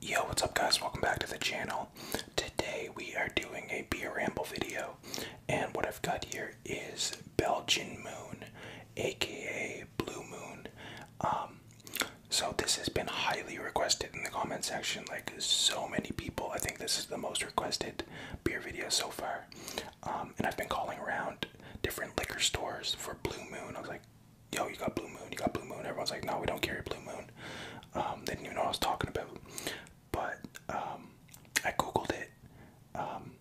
Yo, what's up guys? Welcome back to the channel. Today we are doing a beer ramble video and what I've got here is Belgian Moon, aka Blue Moon. Um, so this has been highly requested in the comment section, like so many people. I think this is the most requested beer video so far. Um, and I've been calling around different liquor stores for Blue Moon. I was like, yo, you got Blue Moon, you got Blue Moon. Everyone's like, no, we don't carry Blue Moon. Um, they didn't even know what I was talking about. But um, I googled it, um,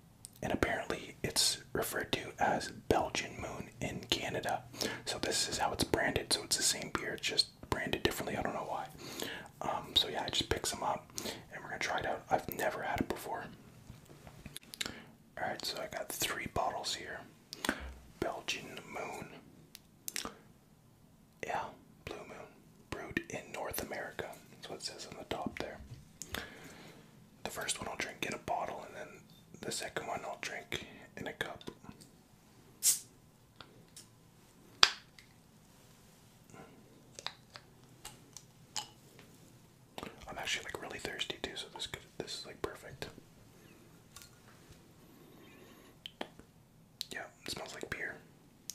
and apparently it's referred to as Belgian Moon in Canada. So this is how it's branded. So it's the same beer, just branded differently. I don't know why. so yeah, I just picked some up, and we're gonna try it out. I've never had it before. All right, so I got three bottles here. Belgian Moon. Yeah, blue moon. Brewed in North America. That's what it says on the top there. The first one I'll drink in a bottle, and then the second one I'll drink in a cup. I'm actually like really thirsty too, so this could, this is like perfect. Yeah, it smells like beer.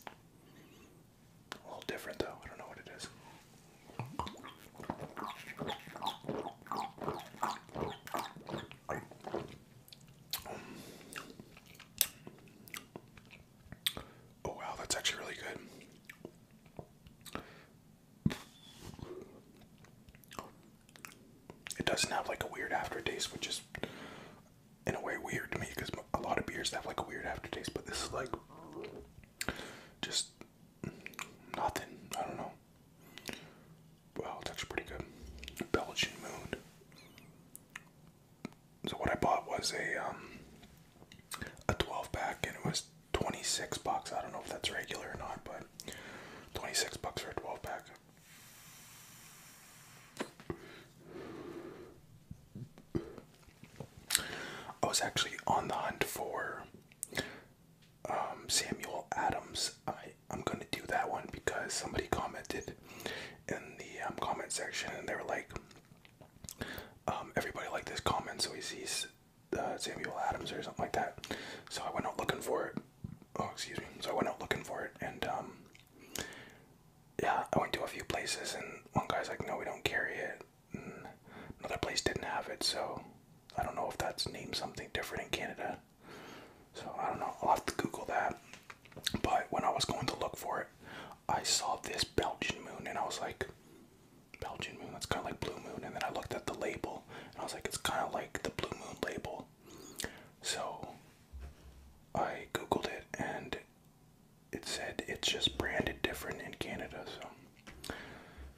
A little different though, I don't know what it is. Oh wow, that's actually really good it doesn't have like a weird aftertaste, which is in a way weird to me because a lot of beers have like a weird aftertaste, but this is like just nothing. I don't know. Wow, it's pretty good. Belgian Moon. So what I bought was a um, a 12 pack and it was 26 bucks. I don't know if that's regular or not, but 26 bucks for a 12 pack. I was actually on the hunt for um, Samuel Adams. I, I'm going to do that one because somebody commented in the um, comment section and they were like, um, everybody liked this comment, so he sees uh, Samuel Adams or something like that. So I went out looking for it oh excuse me. So I went out looking for it, and um, yeah, I went to a few places, and one guy's like, "No, we don't carry it." another place didn't have it, so I don't know if that's named something different in Canada. So I don't know. I'll have to Google that. But when I was going to look for it, I saw this Belgian moon, and I was like, Belgian moon. That's kind of like blue moon. And then I looked at the label, and I was like, it's kind of like the blue moon label, so I googled it and it said it's just branded different in Canada, so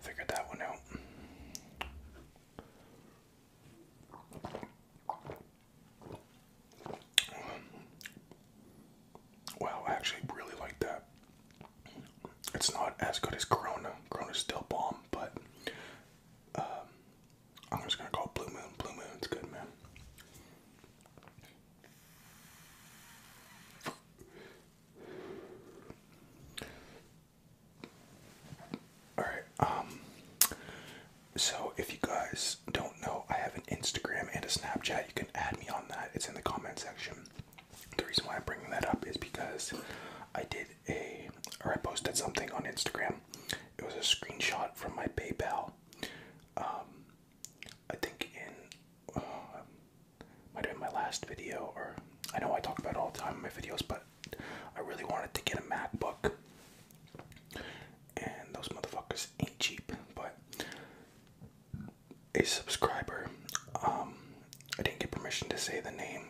figured that one out. Wow, I actually really like that. It's not as good as Corona. Corona still bomb, but um, I'm just gonna call Blue Moon Blue Moon. It's good, man. All right. Um. So if you guys don't know, I have an Instagram and a Snapchat. You can add me on that. It's in the comment section. The reason why I'm bringing that up is because I did a or I posted something on Instagram it was a screenshot from my PayPal. Um, I think in uh, might have been my last video, or I know I talk about all the time in my videos, but I really wanted to get a MacBook, and those motherfuckers ain't cheap. But a subscriber, um, I didn't get permission to say the name,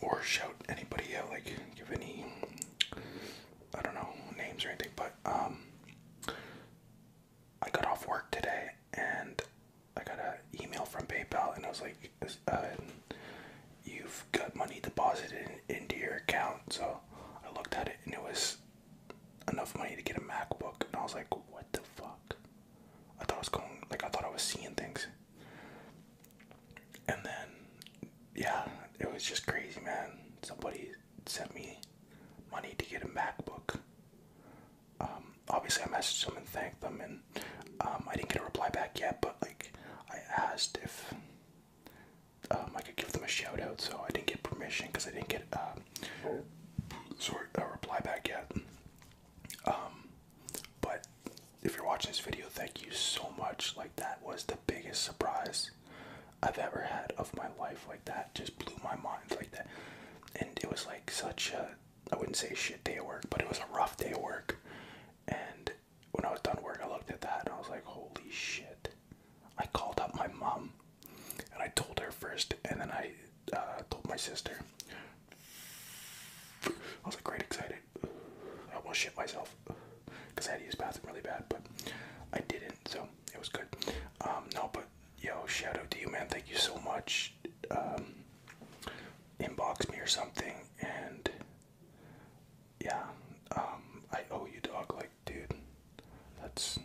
or shout anybody out, like give any, I don't know, names or anything, but um, I got off work today and I got an email from PayPal and I was like, uh, you've got money deposited into your account. So I looked at it and it was enough money to get a MacBook. And I was like, what the fuck? I thought I was going, like, I thought I was seeing things. And then, yeah, it was just crazy, man. Somebody sent me money to get a MacBook. Um, obviously, I messaged them and thanked them, and um, I didn't get a reply back yet. But like, I asked if um, I could give them a shout out, so I didn't get permission because I didn't get um, sort a reply back yet. but if you're watching this video, thank you so much. Like that was the biggest surprise I've ever had of my life. Like that just blew my mind like that. And it was like such a I wouldn't say shit day of work, but it was a rough day of work. And when I was done work, I looked at that and I was like, holy shit. I called up my mom and I told her first, and then I uh, told my sister. I was like great excited. I will shit myself because I had to use bathroom really bad, but I didn't, so it was good. Um, no, but yo, shout out to you, man. Thank you so much. Um, inbox me or something, and yeah, um, I owe you, dog. Like, dude, that's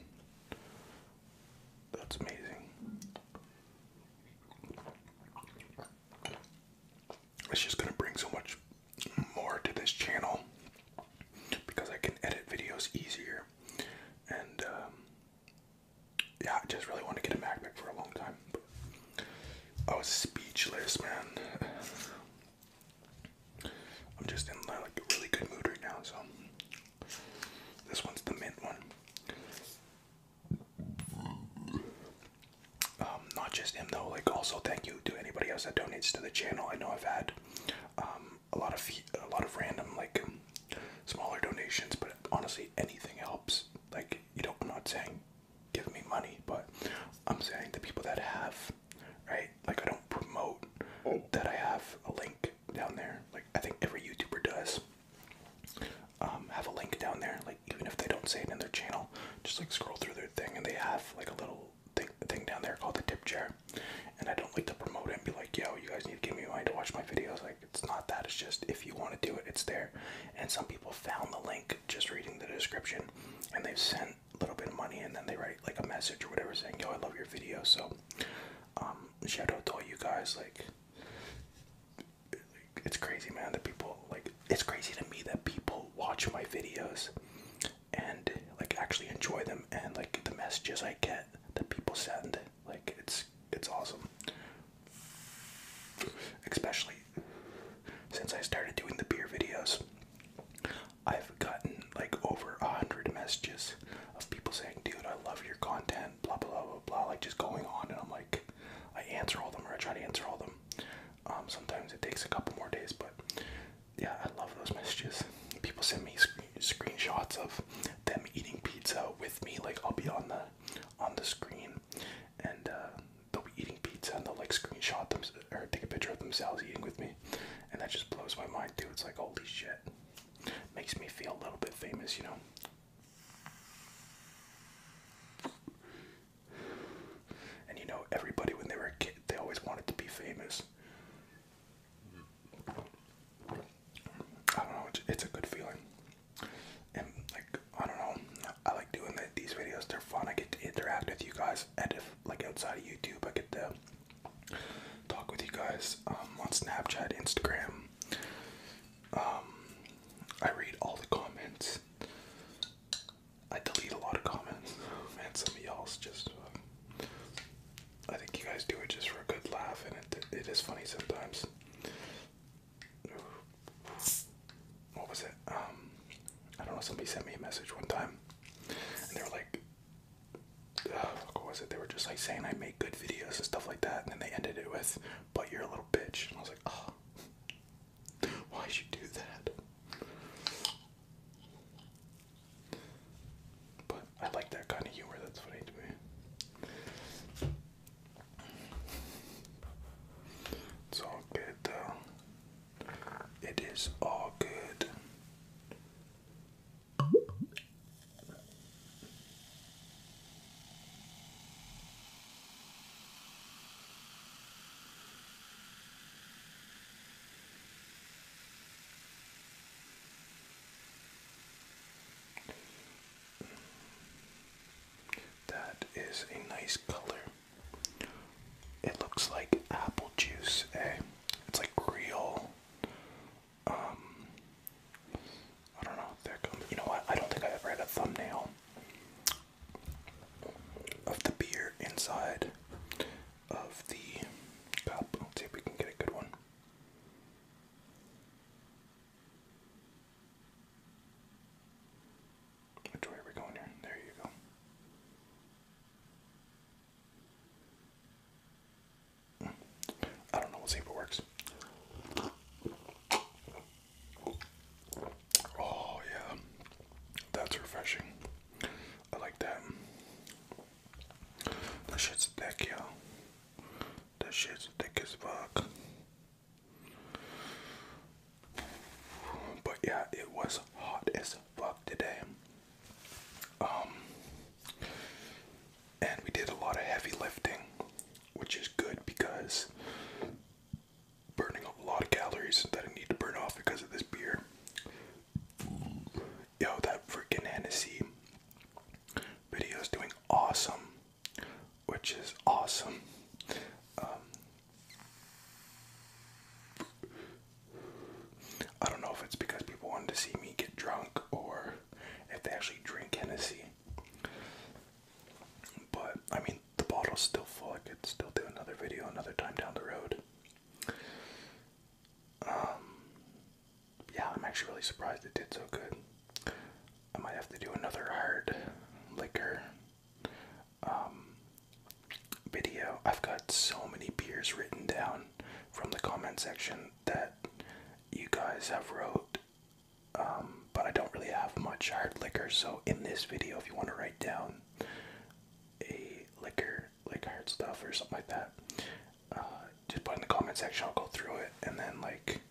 that's amazing it's just gonna bring so much more to this channel because I can edit videos easier and um, yeah I just really want to get a MacBook for a long time I was speechless man I'm just in like a really good mood right now so this one's the mint one um, not just him though, like also thank you to anybody else that donates to the channel. I know I've had um, a lot of a lot of random like smaller donations, but honestly, anything helps. Like you don't, I'm not saying give me money, but I'm saying the people that have, right? Like I don't promote that I have a link down there. Like I think every YouTuber does um, have a link down there. Like even if they don't say it in their channel, just like scroll through their thing and they have like a little thing, down there called the tip jar. And I don't like to promote it and be like, yo, you guys need to give me money to watch my videos. Like it's not that. It's just if you want to do it, it's there. And some people found the link just reading the description, and they've sent a little bit of money and then they write like a message or whatever saying, yo, I love your video. So um, shout out to all you guys. Like it's crazy, man, that people like it's crazy to me that people watch my videos and like actually enjoy them and like the messages I get that people send. Like it's it's awesome. Especially since I started doing the beer videos. I've gotten like over a hundred messages of people saying, dude, I love your content, blah blah blah blah blah like just going on and I'm like I answer all them or I try to answer all them. Um, sometimes it takes a couple more days, but yeah, I love those messages. People send me sc screenshots of them eating pizza with me. Like I'll be on the on the screen, and uh, they'll be eating pizza, and they'll like screenshot them or take a picture of themselves eating with me, and that just blows my mind, dude. It's like holy shit, makes me feel a little bit famous, you know. And you know, everybody when they were a kid, they always wanted to be famous. I don't know, it's a good feeling. And like, I don't know, I like doing these videos, they're fun. I get to interact with you guys, and if like outside of YouTube, I get to talk with you guys um, on Snapchat, Instagram. Um, I read all the comments. I delete a lot of comments. and some of y'all's just. Uh, I think you guys do it just for a good laugh, and it it is funny sometimes. What was it? Um, I don't know. Somebody sent me a message one time, and they were like, uh, "What was it?" They were just like saying, "I make good videos and stuff like that," and then they ended it with, "But you're a little bitch," and I was like, "Oh." why should you do that? But I like that kind of humor, that's funny to me. It's all good though. It is all good. That is a nice color. It looks like apple juice, eh? It's like real. Um, I don't know. There comes. You know what? I don't think I've ever had a thumbnail of the beer inside of the cup. Let's see if we can get a good one. Which way are we going here? There you go. Hmm. I don't know. We'll see if it works. Oh, yeah, that's refreshing. I like that. That shit's thick, yo. That shit's thick as fuck. But yeah, it was hot as fuck today. Um, and we did a lot of heavy lifting, which is good because burning a lot of calories that I need to burn off because of this beer. Yo, that freaking Hennessy video is doing awesome, which is awesome. Um, I don't know if it's because people wanted to see me get drunk or if they actually drink Hennessy. But I mean, the bottle's still full. I could still do another video another time down the road. Um, yeah, I'm actually really surprised it did so good. I might have to do another hard liquor um, video. I've got so many beers written down from the comment section that you guys have wrote um, but I don't really have much hard liquor. So in this video, if you want to write down a liquor, like hard stuff or something like that, uh, just put in the comment section. I'll go through it, and then like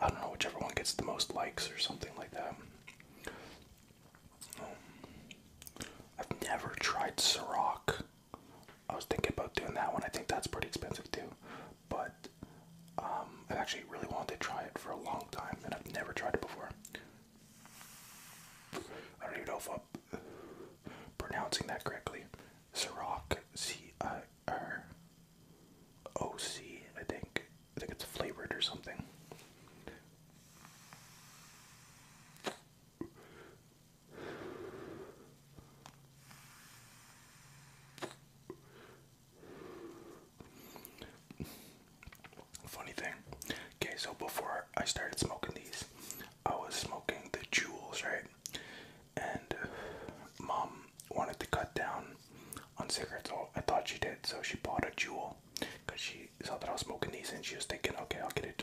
I don't know, whichever one gets the most likes or something like that. Um, I've never tried Ciroc. I was thinking about doing that one. I think that's pretty expensive too, but um, I actually really wanted to try it for a long time, and I've never tried it before. I don't even know if I'm pronouncing that correctly. Ciroc, C I R O C, I think. I think it's flavored or something. Funny thing. Okay, so before I started smoking these, I was smoking the jewels, right? And mom wanted to cut down on cigarettes. I thought she did, so she bought a jewel because she saw that I was smoking these, and she was thinking, okay, I'll get it.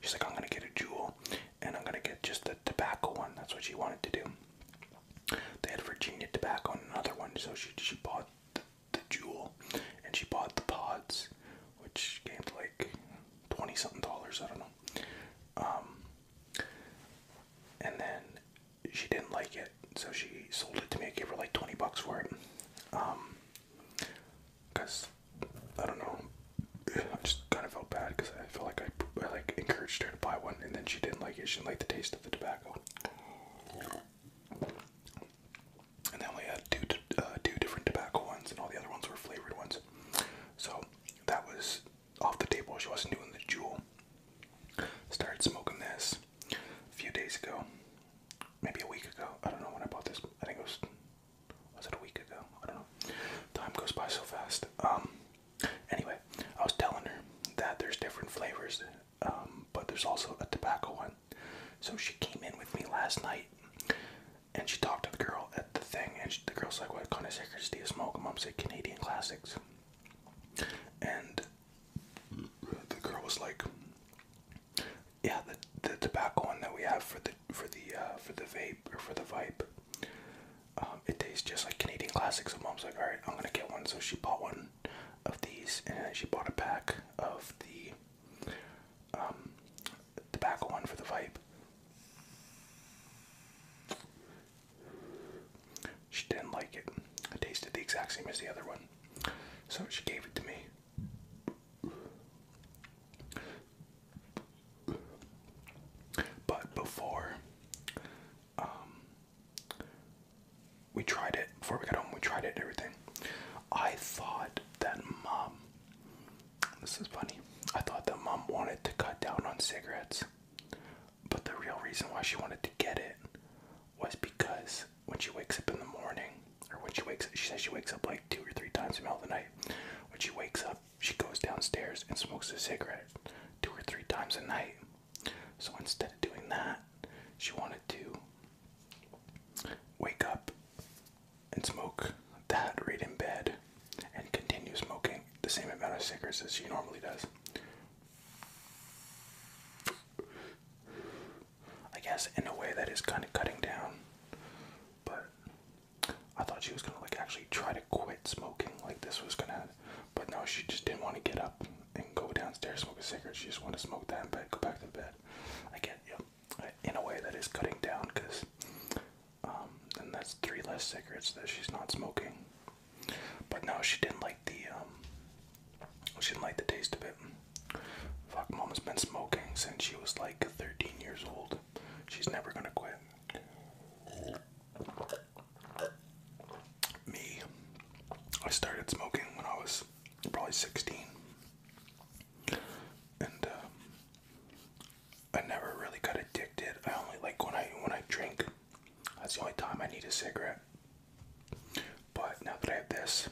She's like, I'm gonna get a jewel, and I'm gonna get just the tobacco one. That's what she wanted to do. They had Virginia tobacco and another one, so she she bought the jewel, and she bought the pods, which came to like twenty something dollars. I don't know. Um, and then she didn't like it, so she sold it to me. I gave her like twenty bucks for it. Um, cause I don't know. I just kind of felt bad because I felt like I, I like encouraged her to buy one, and then she didn't like it. She didn't like the taste of the tobacco and then we had two uh, two different tobacco ones, and all the other ones were flavored ones. So that was off the table. She wasn't doing the jewel. Started smoking this a few days ago, maybe a week ago. I don't know when I bought this. I think it was was it a week ago? I don't know. Time goes by so fast. Um. Anyway, I was telling her that there's different flavors um, but there's also a tobacco one. So she came in with me last night, and she talked to the girl at the thing, and she, the girl's like, "What kind of cigarettes do you smoke?" mom's like, "Canadian classics," and the girl was like, "Yeah, the the tobacco one that we have for the for the uh, for the vape or for the vibe." Um, it tastes just like Canadian classics. And mom's like, all right, I'm gonna get one. So she bought one, of these, and she bought a pack of the um, tobacco one for the vibe. She didn't like it. It tasted the exact same as the other one, so she gave it to me. But before um, we tried it before we got home. We tried it everything. I thought that mom. This is funny. I thought that mom wanted to cut down on cigarettes, but the real reason why she wanted to get it was because when she wakes up in the morning, or when she wakes up, she says she wakes up like two or three times in the middle of the night. When she wakes up, she goes downstairs and smokes a cigarette two or three times a night. So instead of doing that, she wanted to wake up and smoke that right in bed and continue smoking the same amount of cigarettes as she normally does. I guess in a way that is kind of cutting down, but I thought she was gonna like actually try to quit smoking, like this was gonna, but no, she just didn't want to get up and go downstairs, smoke a cigarette. She just want to smoke that and go back to bed. I get you. In a way, that is cutting down because then um, that's three less cigarettes that she's not smoking. But no, she didn't like the um, she didn't like the taste of it. Fuck, mom has been smoking since she was like 13 years old. She's never gonna quit. Me, I started smoking when I was probably 16. And uh, I never really got addicted. I only like when I when I drink. That's the only time I need a cigarette. But now that I have this,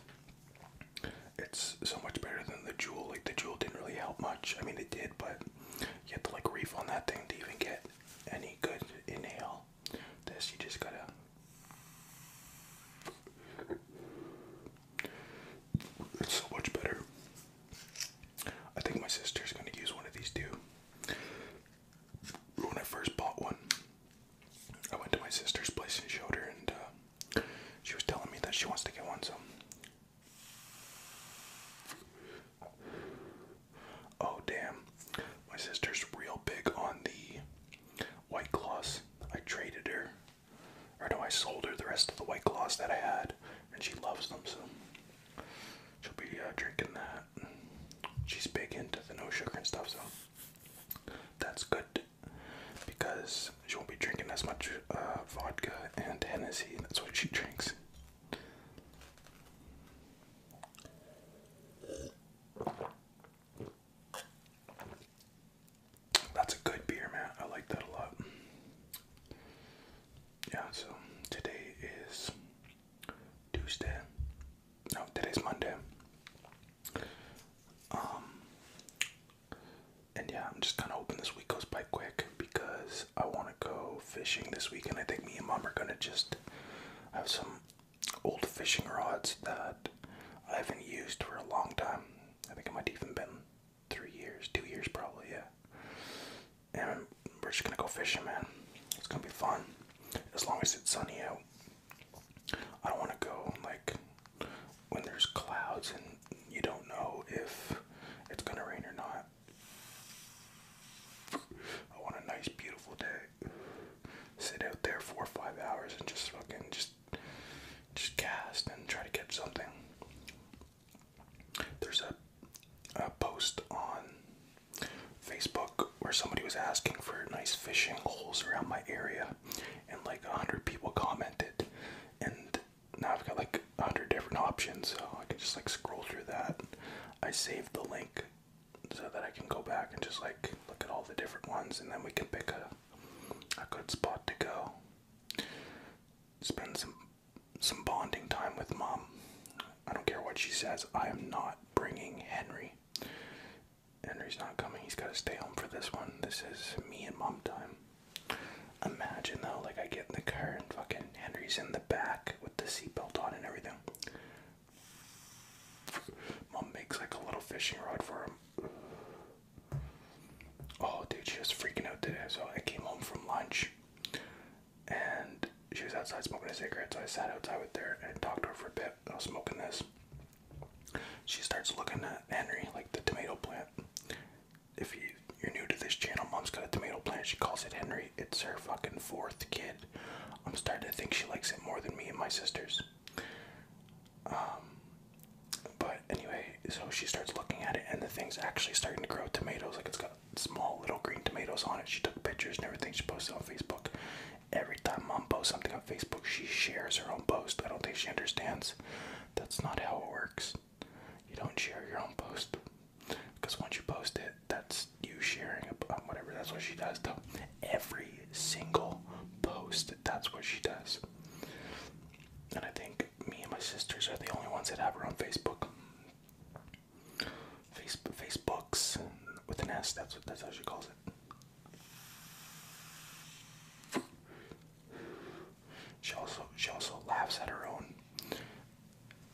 it's so much better than the jewel. Like the jewel didn't really help much. I mean it did, but you had to like refill on that thing to even get any good inhale. This you just gotta it's so much better. I think my sister's gonna use one of these too. When I first bought one, I went to my sister's place and showed her, and uh, she was telling me that she wants to get one. So, oh damn, my sister's real big on the White Claws. I traded her, or no, I sold her the rest of the White Claws that I had, and she loves them, so she'll be uh, drinking that. She's big into the no sugar and stuff, so that's good because she won't be drinking as much uh, vodka and Hennessy, that's what she drinks. That's a good beer, man. I like that a lot. Yeah, so today is Tuesday. No, today's Monday. Um, and yeah, I'm just kind of hoping this week goes by quick because I want to go fishing this week, and I think me and mom are gonna just have some old fishing rods that I haven't used for a long time. I think it might even been three years, two years probably, yeah. And we're just gonna go fishing, man. It's gonna be fun as long as it's sunny out. I don't want to go like when there's clouds and you don't know if it's gonna rain or not. I want a nice, beautiful day sit out there four or five hours and just fucking just just cast and try to catch something. There's a, a post on Facebook where somebody was asking for nice fishing holes around my area, and like a hundred people commented, and now I've got like a hundred different options, so I can just like scroll through that. I saved the link so that I can go back and just like look at all the different ones, and then we can pick a a good spot to go. Spend some some bonding time with mom. I don't care what she says. I am not bringing Henry. Henry's not coming. He's got to stay home for this one. This is me and mom time. Imagine though, like I get in the car and fucking Henry's in the back with the seatbelt on and everything. Mom makes like a little fishing rod for him. Oh, dude, she was freaking out today. So I came home from lunch and she was outside smoking a cigarette. So I sat outside with her and talked to her for a bit. I was smoking this. She starts looking at Henry, like the tomato plant. If you, you're new to this channel, mom's got a tomato plant. She calls it Henry. It's her fucking fourth kid. I'm starting to think she likes it more than me and my sisters. Um, but anyway, so she starts looking at it, and the thing's actually starting to grow tomatoes. Like it's got small little green tomatoes on it. She took pictures and everything. She posted on Facebook. Every time mom posts something on Facebook, she shares her own post. I don't think she understands. That's not how it works. You don't share your own post because once you post it, that's you sharing. Um, whatever. That's what she does, though every single post. That's what she does. And I think me and my sisters are the only ones that have her on Facebook. Facebook, Facebooks with an S. That's what that's how she calls it. She also she also laughs at her own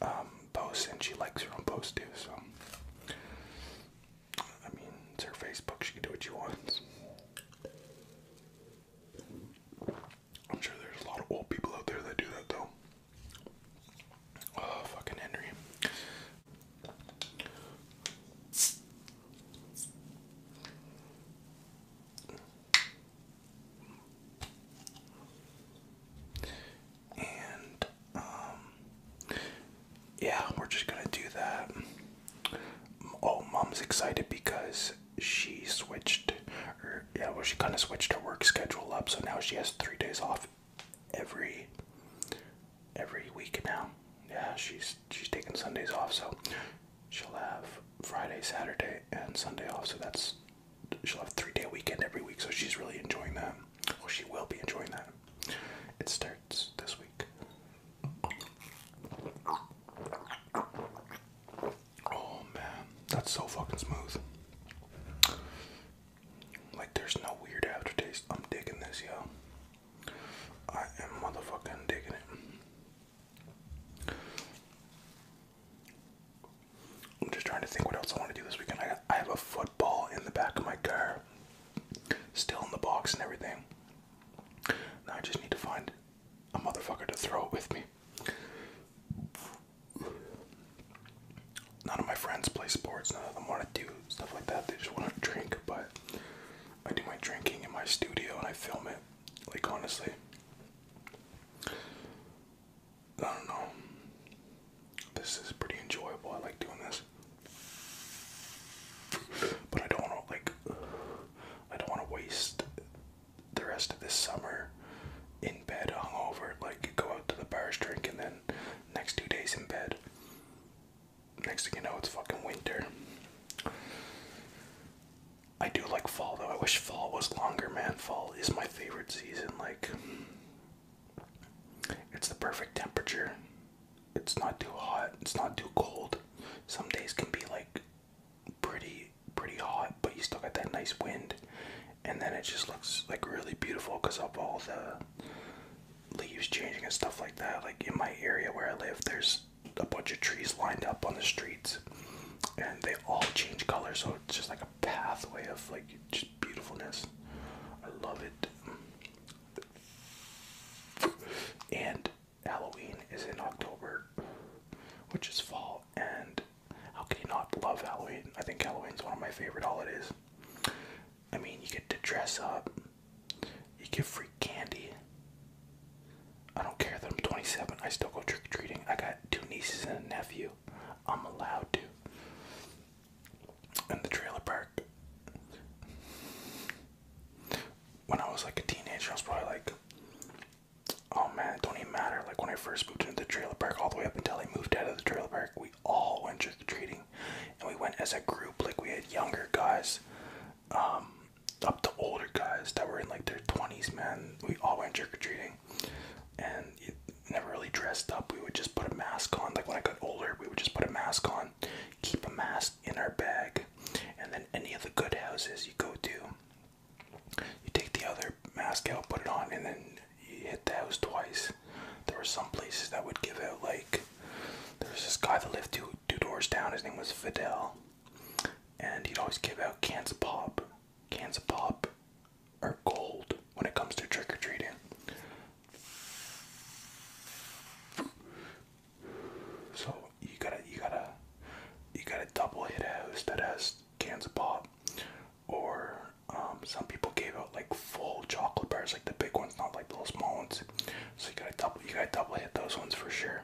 um, posts and she likes her own posts too. So I mean, it's her Facebook. She can do what she wants. I'm sure there's a lot of old people out there that do that, though. Oh, fucking Henry. And um, yeah, we're just gonna do that. Oh, mom's excited because she switched, or yeah, well, she kind of switched her work schedule up, so now she has three days off every every week now. Yeah, she's she's taking Sundays off, so she'll have Friday, Saturday, and Sunday off. So that's she'll have three day weekend every week. So she's really enjoying that. Well, she will be enjoying that. It starts this week. Oh man, that's so fucking smooth. Like there's no weird aftertaste. I'm digging this, yo. I am motherfucking digging it. I'm just trying to think what else I want to do this weekend. I I have a football in the back of my car. Still in the box and everything. Now I just need to find a motherfucker to throw it with me. None of my friends play sports, none of them want to do stuff like that. They just want to drink, but I do my drinking in my studio and I film it. Like, honestly, I don't know. This is pretty enjoyable. I like doing this. But I don't want to like I don't want to waste the rest of this summer in bed hungover. Like go out to the bars, drink, and then next two days in bed. Next thing you know, it's fucking winter. I do like fall though. I wish fall was longer, man. Fall is my favorite season. Like, it's the perfect temperature it's not too hot, it's not too cold. Some days can be like pretty pretty hot, but you still got that nice wind. And then it just looks like really beautiful because of all the leaves changing and stuff like that. Like in my area where I live, there's a bunch of trees lined up on the streets and they all change color, so it's just like a pathway of like just beautifulness. I love it. And Halloween is in October, which is fall. And how can you not love Halloween? I think Halloween is one of my favorite holidays. I mean, you get to dress up, you get free candy. I don't care that I'm 27, I still go trick or treating. I got two nieces and a nephew. I'm allowed to. And the trailer park when I was like a teenager, I was probably like, oh man, it don't even matter. Like when I first moved into the trailer park, all the way up until I moved out of the trailer park, we all went trick or treating, and we went as a group. Like we had younger guys, um, up to older guys that were in like their twenties. Man, we all went trick or treating, and never really dressed up. We would just put a mask on. Like when I got older, we would just put a mask on, keep a mask in our bag and then any of the good houses you go to, you take the other mask out, put it on, and then you hit the house twice. There were some places that would give out like there was this guy that lived two two doors down. His name was Fidel, and he'd always give out cans of pop, cans of pop, are gold when it comes to trick or treating. So you gotta you gotta you gotta double hit a house that has cans of pop. Or um, some people gave out like full chocolate bars, like the big ones, not like the little small ones. So you gotta double you gotta double hit those ones for sure.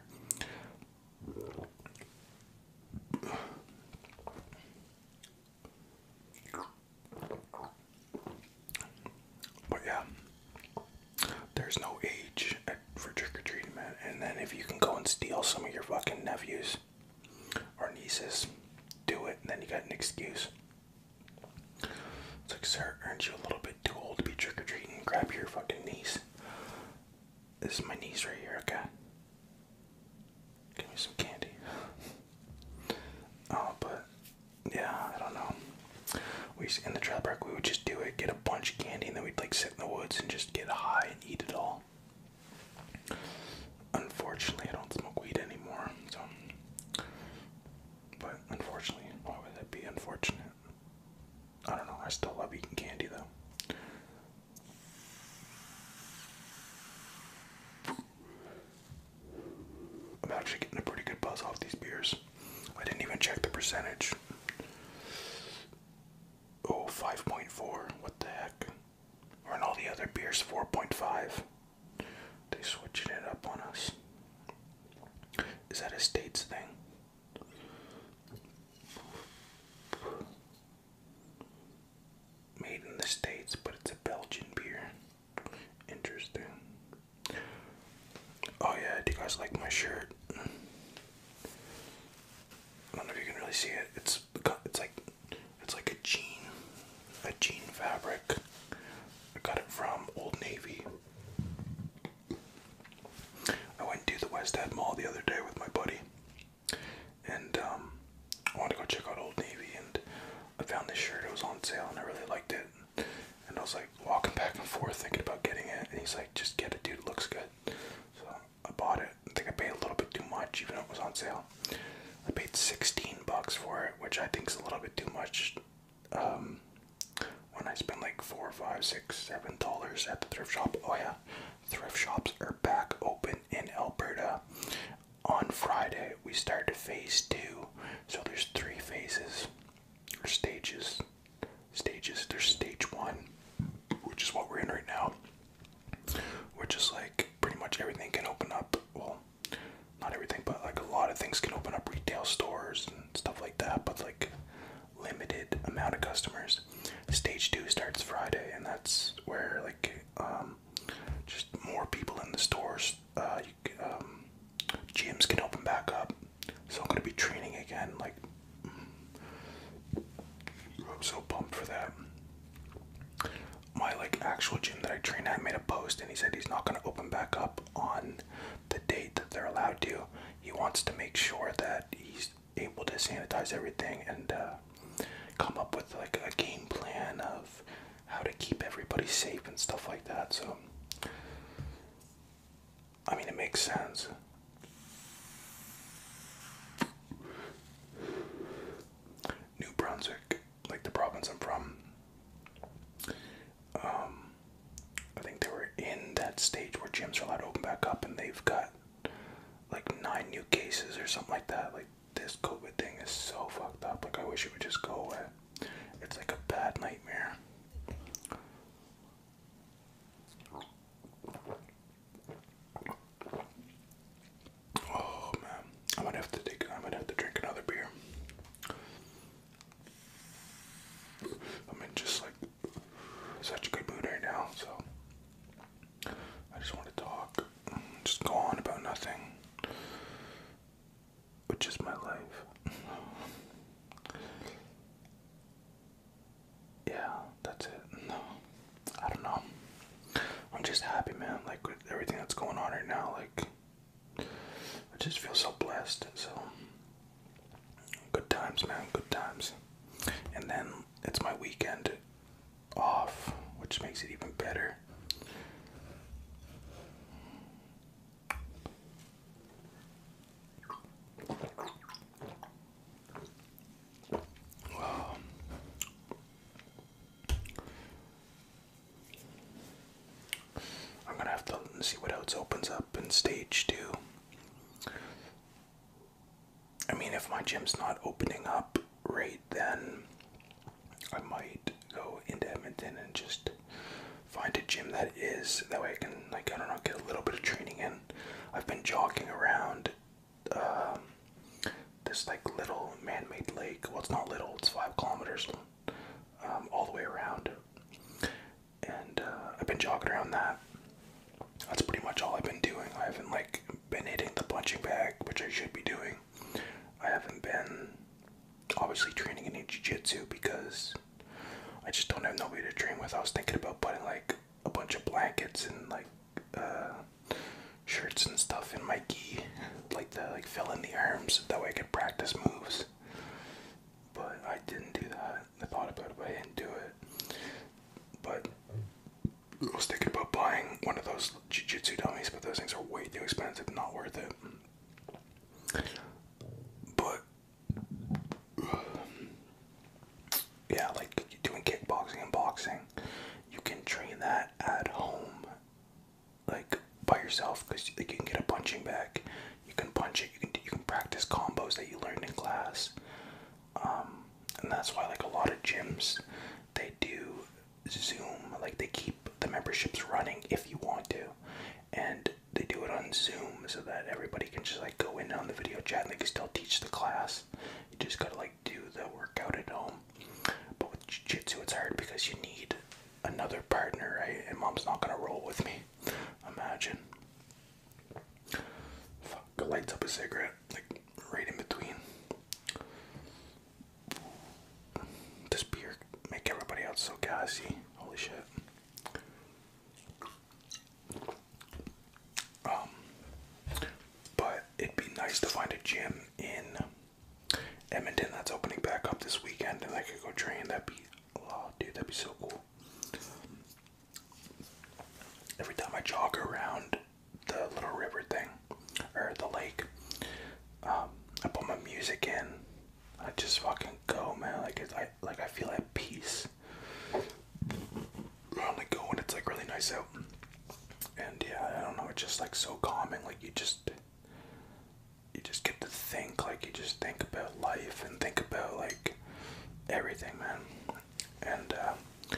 But yeah, there's no age for trick or treating, man. And then if you can go and steal some of your fucking nephews or nieces, do it. And then you got an excuse. It's like, sir, aren't you a little bit too old to be trick or treating? Grab your fucking niece. This is my niece right here, okay? Give me some candy. Oh, but yeah, I don't know. We in the trap park we would just do it, get a bunch of candy, and then we'd like sit in the woods and just get high and eat it all. Unfortunately, I don't smoke weed anymore, so. But unfortunately, why would that be unfortunate? I don't know. I still love eating candy though. I'm actually getting a pretty good buzz off these beers. I didn't even check the percentage. Oh, What the heck? And all the other beers 4.5? They switching it up on us. Is that a states thing? Made in the States, but it's a Belgian beer. Interesting. Oh yeah, do you guys like my shirt? I don't know if you can really see it. It's it's like it's like a jean, a jean fabric. I got it from Old Navy. I went to the West End Mall the other day with my buddy, and um, I wanted to go check out Old Navy, and I found this shirt. It was on sale, and I really liked it. And I was like walking back and forth thinking about getting it. And he's like, just get it, dude. looks good. So I bought it. I think I paid a little bit too much, even though it was on sale. I paid 16 bucks for it, which I think is a little bit too much. Um, when I spent like four, five, six, seven dollars at the thrift shop. Oh yeah, thrift shops are back open in Alberta. On Friday, we started phase two, so there's three phases or stages stages. There's stage one, which is what we're in right now, which is like pretty much everything can open up. Well, not everything, but like a lot of things can open up retail stores and stuff like that, but like limited amount of customers. Stage two starts Friday, and that's where like um, just more people in the stores. Uh, um, gyms can open back up so I'm gonna be training again. Like, I'm so pumped for that. My like actual gym that I train at made a post, and he said he's not gonna open back up on the date that they're allowed to. He wants to make sure that he's able to sanitize everything and uh, come up with like a game plan of how to keep everybody safe and stuff like that. So I mean, it makes sense. New Brunswick, like the province I'm from, um, I think they were in that stage where gyms are allowed to open back up, and they've got like nine new cases or something like that. Like this COVID thing is so fucked up. Like I wish it would just go away. It's like a bad nightmare. Oh man, I might have to take. I might have to drink another beer. I'm in just like such a good mood right now, so I just want to talk, just go on about nothing which is my life. yeah, that's it. No, I don't know. I'm just happy, man. Like with everything that's going on right now, like I just feel so blessed. So good times, man. Good times. And then it's my weekend off, which makes it even better. Wow. I'm gonna have to see what else opens up in stage two. I mean, if my gym's not opening up right then, I might go into Edmonton and just find a gym that is that way I can like I don't know get a little bit of training in. I've been jogging around um, this like little man-made lake. Well, it's not little; it's five kilometers um, all the way around, and uh, I've been jogging around that. That's pretty much all I've been doing. I haven't like been hitting the punching bag, which I should be doing. I haven't been obviously training in jiu-jitsu because I just don't have nobody to train with. I was thinking about putting like a bunch of blankets and like uh, shirts and stuff in my gi, like to like fill in the arms that way I could practice moves. But I didn't do that. I thought about it, but I didn't do it. But I was thinking about buying one of those jiu-jitsu dummies, but those things are way too expensive, not worth it. But yeah, like doing kickboxing and boxing, you can train that at home, like by yourself, because you can get a punching bag, you can punch it, you can you can practice combos that you learned in class, um, and that's why like a lot of gyms, they do Zoom, like they keep the memberships running if you want to, and they do it on Zoom so that everybody can just like go in on the video chat and they can still teach the class. You just gotta like do the workout at home. But with jiu jitsu, it's hard because you need another partner, right? And mom's not gonna roll with me. Imagine. Fuck, lights up a cigarette, like right in between. This beer make everybody else so gassy. Holy shit. Um, but it'd be nice to find a gym in Edmonton that's opening back up this weekend, and I could go train. That'd be, oh, dude, that'd be so cool. Every time I jog around the little river thing or the lake, um, I put my music in I just fucking go, man. Like it's I like I feel at peace. I only go when it's like really nice out. And yeah, I don't know, it's just like so calming, like you just you just get to think, like you just think about life and think about like everything, man. And uh,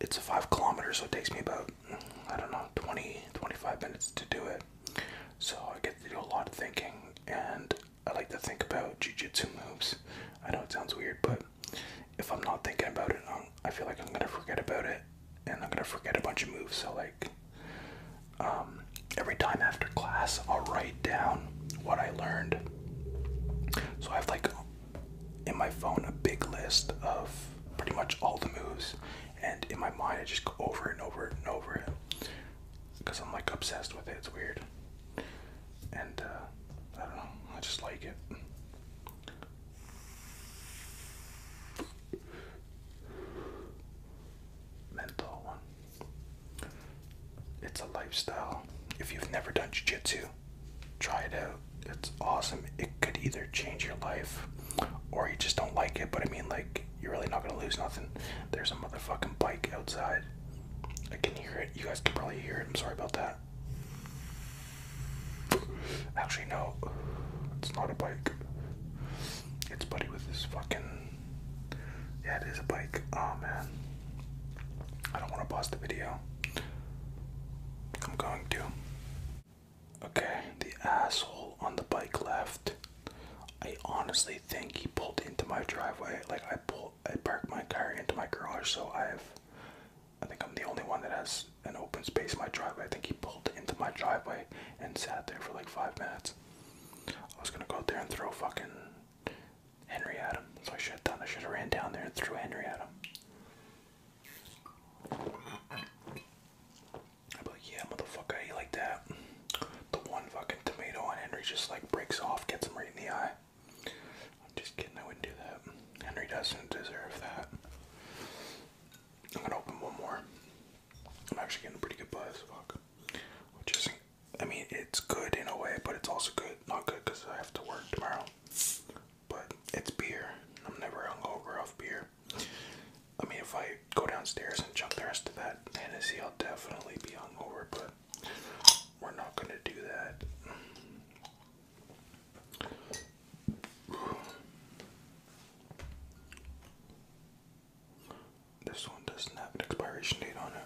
it's a five kilometer, so it takes me about I don't know 20 25 minutes to do it. So I get to do a lot of thinking, and I like to think about jujitsu moves. I know it sounds weird, but if I'm not thinking about it, i feel like I'm gonna forget about it, and I'm gonna forget a bunch of moves. So like, um, every time after class, I'll write down what I learned. So I have like in my phone a big list of pretty much all the moves, and in my mind I just go over and over and over it because I'm like obsessed with it. It's weird, and uh, I don't know. I just like it. Mental one. It's a lifestyle. If you've never done jiu-jitsu, try it out. It's awesome. It could either change your life or you just don't like it, but I mean like you're really not gonna lose nothing. There's a motherfucking bike outside. I can hear it. You guys can probably hear it. I'm sorry about that. Actually, no. It's not a bike. It's Buddy with his fucking. Yeah, it is a bike. Oh man. I don't want to pause the video. I'm going to. Okay, the asshole on the bike left. I honestly honestly think he pulled into my driveway. Like I pull, I parked my car into my garage, so I have. I think I'm the only one that has an open space in my driveway. I think he pulled into my driveway and sat there for like five minutes. I was gonna go out there and throw fucking Henry at him. So I should have done. I should have ran down there and threw Henry at him. I'd like, yeah, motherfucker, you like that? the one fucking tomato and Henry just like breaks off, gets him right in the eye. I'm just kidding, I wouldn't do that. Henry doesn't deserve that. I'm gonna open one more. I'm actually getting a pretty good buzz, fuck. Which is, I mean, it's good in a way, but it's also good, not good because I have to work tomorrow. But it's beer. I'm never hungover off beer. I mean, if I go downstairs and chug the rest of that Hennessy, I'll definitely be hungover. But we're not going to do that. This one doesn't have an expiration date on it.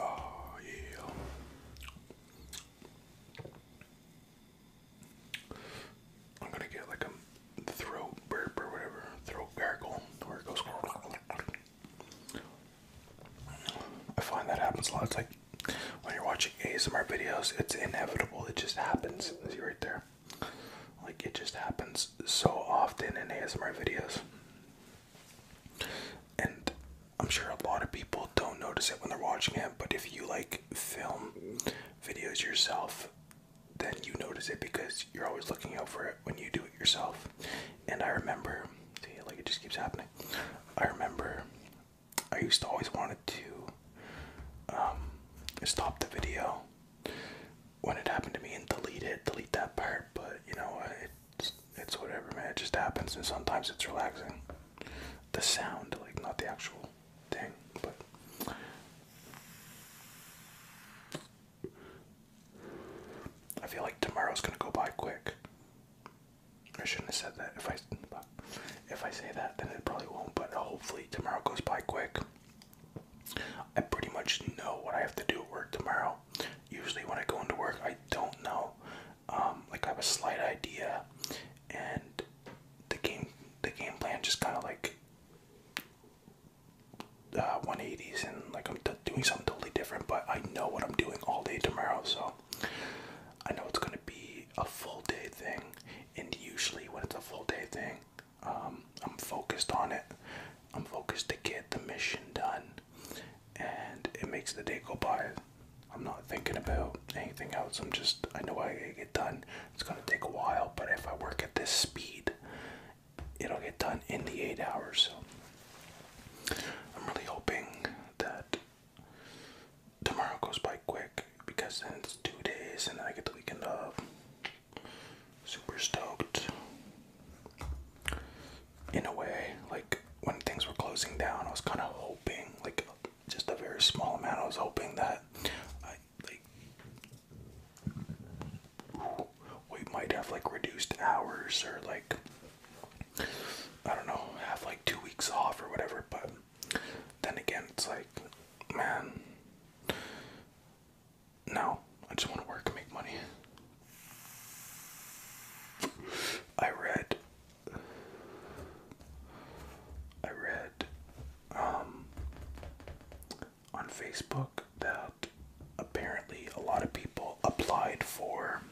Oh, yeah. I'm gonna get like a throat burp or whatever, throat gargle, where it goes. I find that happens a lot. It's like when you're watching ASMR videos, it's inevitable. It just happens. See right there? Like it just happens so often in ASMR videos. And I'm sure a lot of people don't notice it when they're watching it, but if you like film videos yourself, then you notice it because you're always looking out for it when you do it yourself. And I remember, see, like it just keeps happening. I remember I used to always wanted to um, stop the video when it happened to me and delete it, delete that part, but you know, it it's, whatever, man. It just happens, and sometimes it's relaxing. The sound, like not the actual thing, but. I feel like tomorrow's gonna go by quick. I shouldn't have said that. If I if I say that, then it probably won't. But hopefully tomorrow goes by quick. I pretty much know what I have to do at work tomorrow. Usually when I go into work, I don't know um, like I have a slight idea, and the game the game plan just kind of like uh, 180s, and like I'm doing something totally different, but I know what I'm doing all day tomorrow, so I know it's gonna be a full day thing, and usually when it's a full day thing, um, I'm focused on it. I'm focused to get the mission done and it makes the day go by. I'm not thinking about anything else. I'm just, I know I gotta get done. It's gonna take a while, but if I work at this speed, it'll get done in the eight hours. I'm really hoping that tomorrow goes by quick because then it's two days and then I get the weekend off. Super stoked in a way. Like when things were closing down, I was kind of hoping, like just a very small amount. I was hoping that like we might have like reduced hours or like I don't know, have like two weeks off or whatever. But then again, it's like, man, no, I just want to work and make money. I read I read um, on Facebook that apparently a lot of people applied for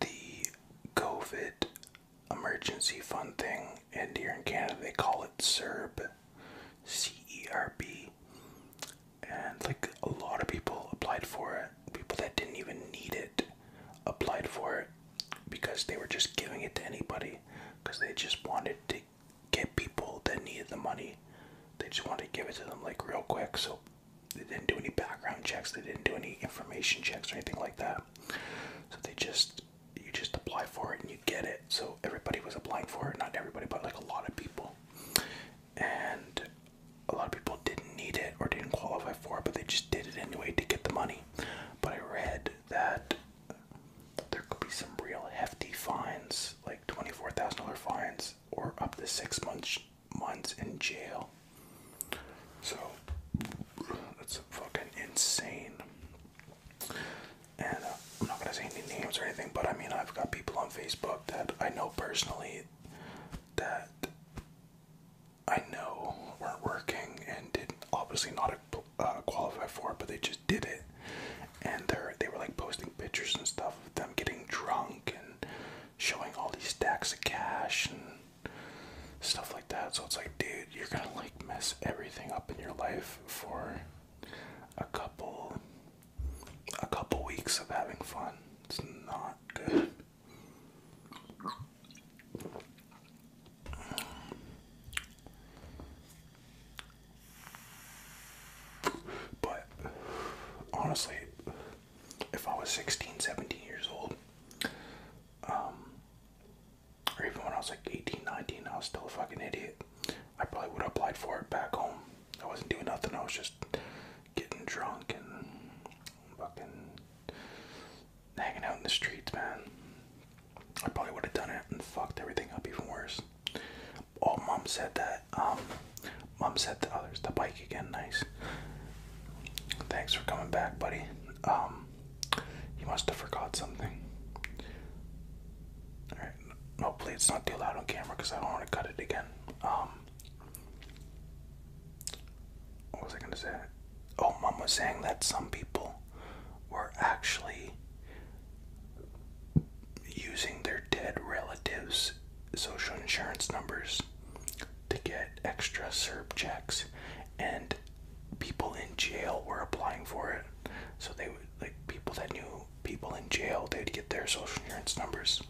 the COVID emergency fund thing, and here in Canada they call it CERB, C E R B. And like a lot of people applied for it people that didn't even need it applied for it because they were just giving it to anybody because they just wanted to get people that needed the money. They just wanted to give it to them like real quick. So they didn't do any background checks, they didn't do any information checks or anything like that. So they just you just apply for it and you get it. So everybody was applying for it, not everybody, but like a lot of people. And a lot of people didn't need it or didn't qualify for it, but they just did it anyway to get the money. But I read that there could be some real hefty fines, like twenty-four thousand dollar fines, or up to six months months in jail. So that's fucking insane. And uh, I'm not gonna say any names or anything, but I mean I've got people on Facebook that I know personally that I know weren't working and did obviously not uh, qualify for it, but they just did it. And they're, they were like posting pictures and stuff of them getting drunk and showing all these stacks of cash and stuff like that. So it's like, dude, you're gonna like mess everything up in your life for a couple a couple weeks of having fun. It's not good. But honestly, if I was 16, 17 years old, um, or even when I was like 18, 19, I was still a fucking idiot. I probably would have applied for it back home. I wasn't doing nothing. I was just getting drunk and fucking hanging out in the streets, man. I probably would have done it and fucked everything up even worse. Oh, mom said that. Um, mom said to others, the bike again, nice. Thanks for coming back, buddy. Um, you must have forgot something. Alright, hopefully it's not too loud on camera because I don't want to cut it again. Um, what was I gonna say? Oh, mom was saying that some people were actually using their dead relatives' social insurance numbers to get extra SERB checks, and people in jail were applying for it. So they would like people that knew people in jail, they'd get their social insurance numbers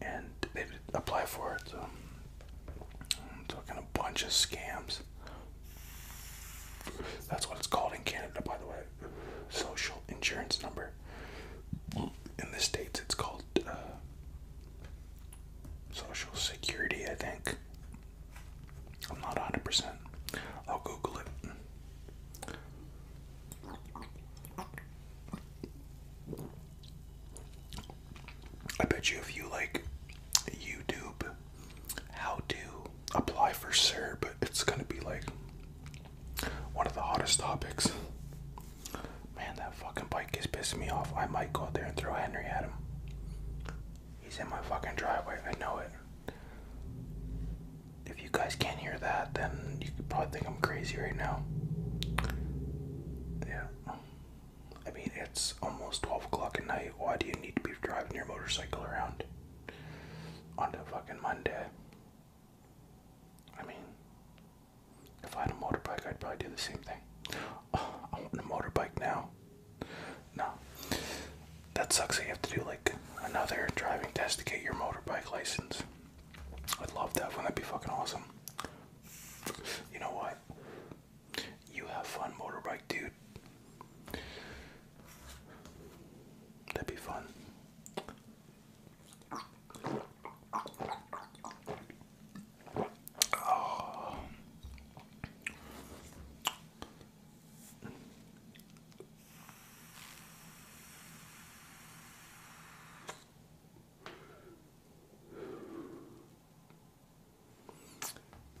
and they apply for it. I'm talking a bunch of scams. That's what it's called in Canada, by the way. Social insurance number. In the States, it's called uh, Social Security, I think. I'm not 100%. I'll Google it. I bet you if you like YouTube how to apply for CERB, it's gonna be like one of the hottest topics. Man, that fucking bike is pissed me off. I might go out there and throw Henry at him. He's in my fucking driveway. I know it. If you guys can't hear that, then you probably think I'm crazy right now. Yeah. I mean, it's almost 12 o'clock at night. Why do you need to be driving your motorcycle around on a fucking Monday? I mean, if I had a motorbike, I'd probably do the same thing. Oh, I want a motorbike now. No. That sucks that you have to do like another driving test to get your motorbike license. I'd love that. Wouldn't that be fucking awesome? You know what? You have fun, motorbike dude. That'd be fun.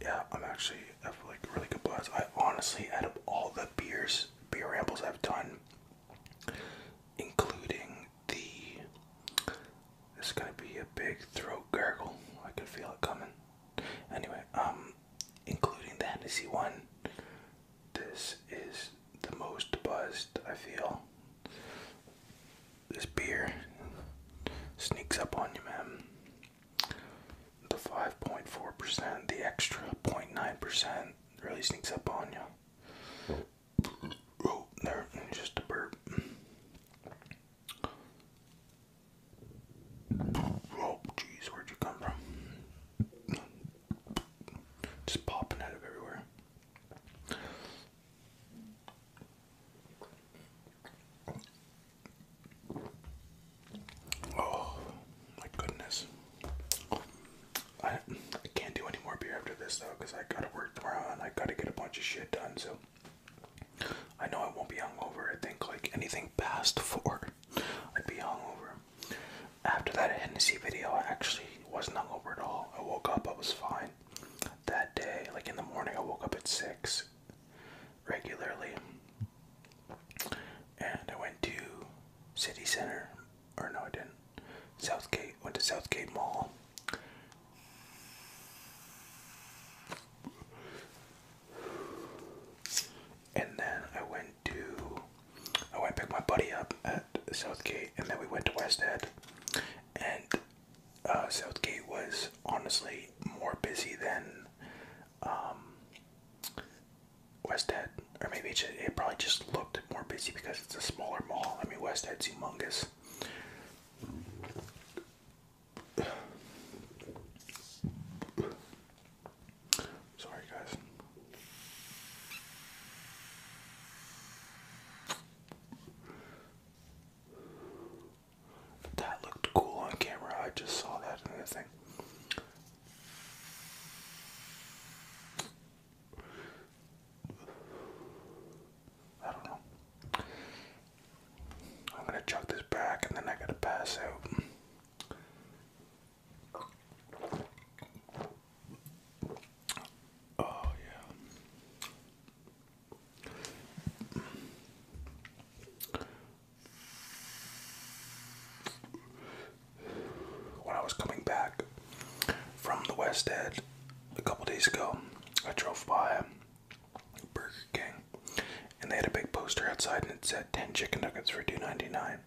Yeah, I'm actually I feel like really good buzz. I honestly, out of all the beers, beer rambles I've done, including the, it's gonna be a big throat gurgle. I can feel it coming. Anyway, um, including the Hennessy one, this is the most buzzed I feel this beer sneaks up on you, man. The 5.4%, the extra 0.9% really sneaks up on you. Oh, just a burp. Oh, jeez, where'd you come from? Just popping out of everywhere. Oh my goodness. I, I can't do any more beer after this though because I gotta work tomorrow and I gotta get a bunch of shit done so I know I won't be hungover. I think like anything past four I'd be hungover. After that Hennessy video I actually wasn't hungover at all. I woke up, I was fine that day, like in the morning, I woke up at six regularly, and I went to City Center, or no, I didn't. Southgate went to Southgate Mall. And then I went to I went pick my buddy up at Southgate and then we went to West Head, and uh, Southgate was honestly more busy than um, West Head, or maybe it, just, it probably just looked more busy because it's a smaller mall. I mean, West Head's humongous. Sorry, guys. That looked cool on camera. I just saw that in the thing. I don't know. I'm gonna chuck this back and then I gotta pass out. Oh, yeah. When I was coming back from the West End a couple days ago, I drove by Burger King and they had a big poster outside and it said 10 chicken nuggets for $2.99.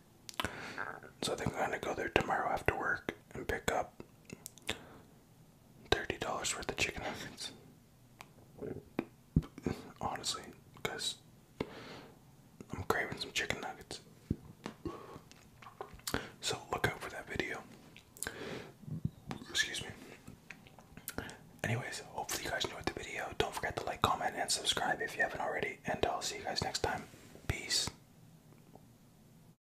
So I think I'm gonna go there tomorrow after work and pick up thirty dollars worth of chicken nuggets. Honestly, because I'm craving some chicken nuggets. So look out for that video. Excuse me. Anyways, hopefully you guys enjoyed the video. Don't forget to like, comment, and subscribe if you haven't already. And I'll see you guys next time. Peace.